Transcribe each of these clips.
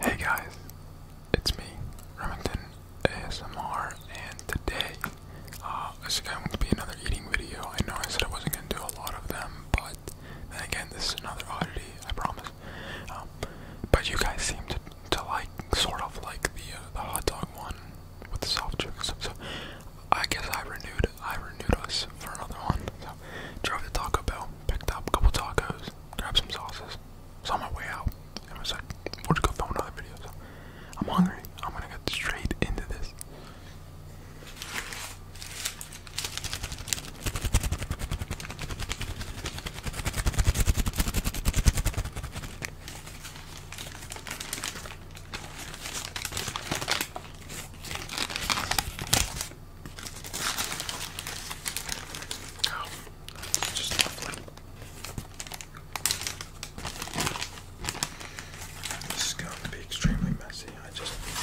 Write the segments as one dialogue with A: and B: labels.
A: Hey guys, it's me, Remington ASMR, and today uh, going to be another eating video. I know I said I wasn't going to do a lot of them, but again, this is another oddity, I promise. Um, but you guys seem to, like, sort of like the, uh, the hot dog one with the soft chicken so I guess I renewed I renewed us for another one. So drove to Taco Bell, picked up a couple tacos, grabbed some sauces. Was on my way out, and was like, "We'll just go film another video." I'm hungry. I'm gonna get straight into this. This is going to be extremely messy. I just grab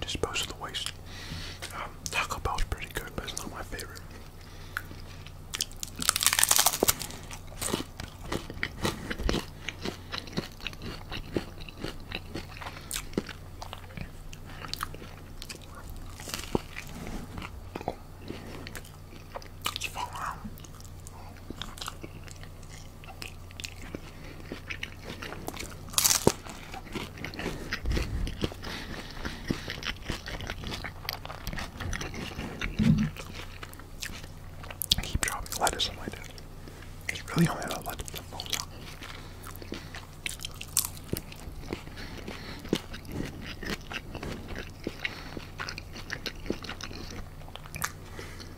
A: Dispose of the waste. Um, Taco Bell's pretty good, but it's not my favorite. I keep dropping lettuce on my dinner. It's really only the lettuce that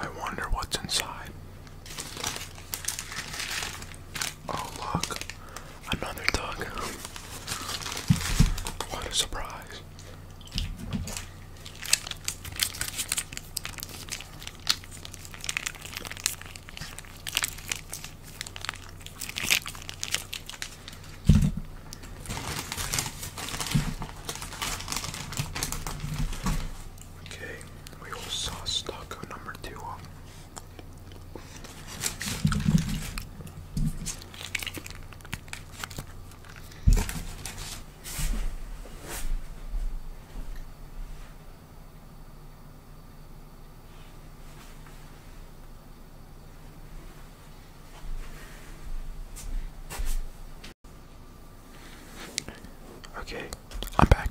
A: I wonder what's inside. Oh, look, another dog. What a surprise! Okay, we all saw Stucco number two. Okay, I'm back.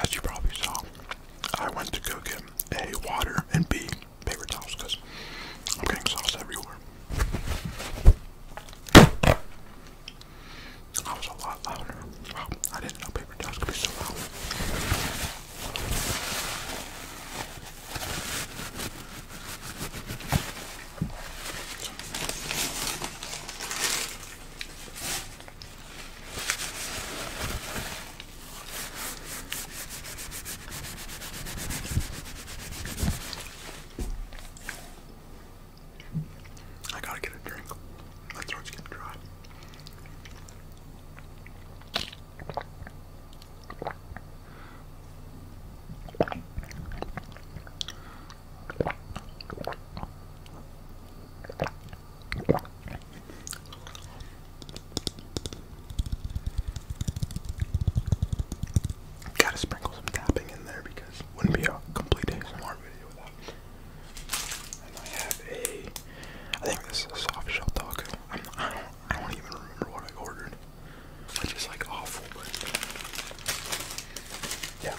A: As you probably saw, I went to cook him A, water, and B, paper towels, because I'm getting sauce everywhere. That was a lot louder. Wow, I didn't know I gotta get a drink. My throat's getting dry. Gotta sprinkle some tapping in there because it wouldn't be a complete ASMR video without I have a, I think this is a soft shell taco. I'm, I do not even remember what I ordered, which is like awful. yeah.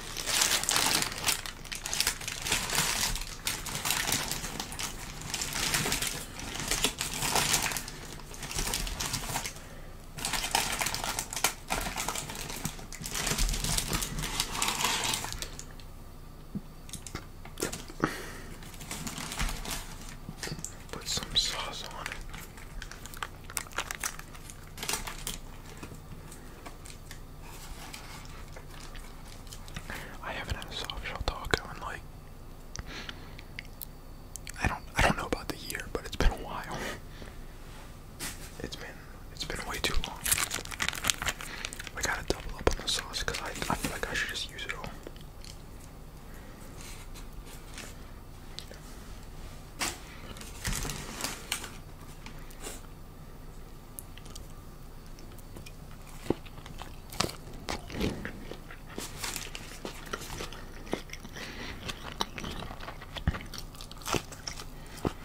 A: Put some sauce on it. I haven't had soft shell taco in like I don't I don't know about the year, but it's been a while. It's been it's been way too long. I gotta double up on the sauce I I feel like I should just use it all.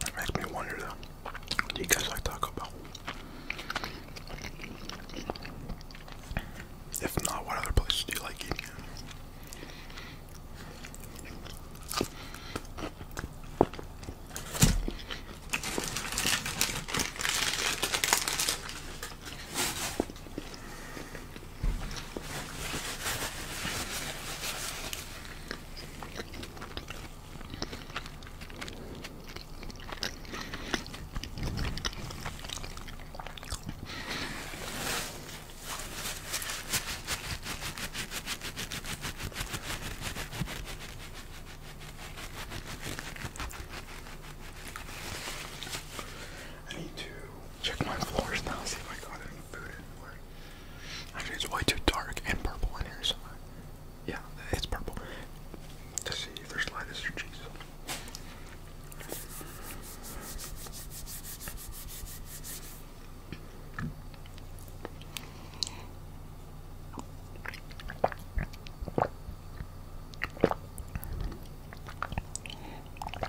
A: It makes me wonder though, do you guys like Taco Bell? If not, what other places do you like eating I need to check my floors now, see if I got any food anywhere. Actually, it's way too dark and purple in here somewhere. Yeah, it's purple. To see if there's lettuce or cheese.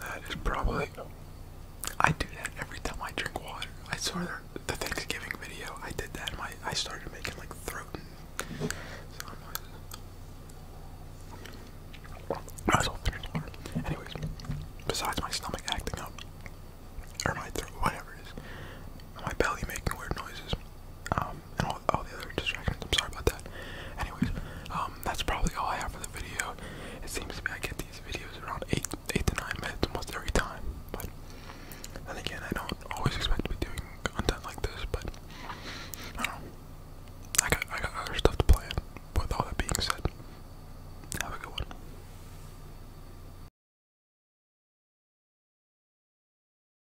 A: That is probably. I do that every time I drink water. I saw the, Thanksgiving video. I did that. And my I started making like throat. And, I'm like, I was all finished water. Anyways, besides my stomach acting up, or my throat, whatever it is, my belly making weird noises, um, and all, the other distractions. I'm sorry about that. Anyways, um. Um, that's probably all I have for the video. It seems to me I get these videos around eight, eight to nine minutes almost every time. But then again, I don't always expect to be doing content like this. But I don't I got, I got other stuff to plan. With all that being said, have a good one.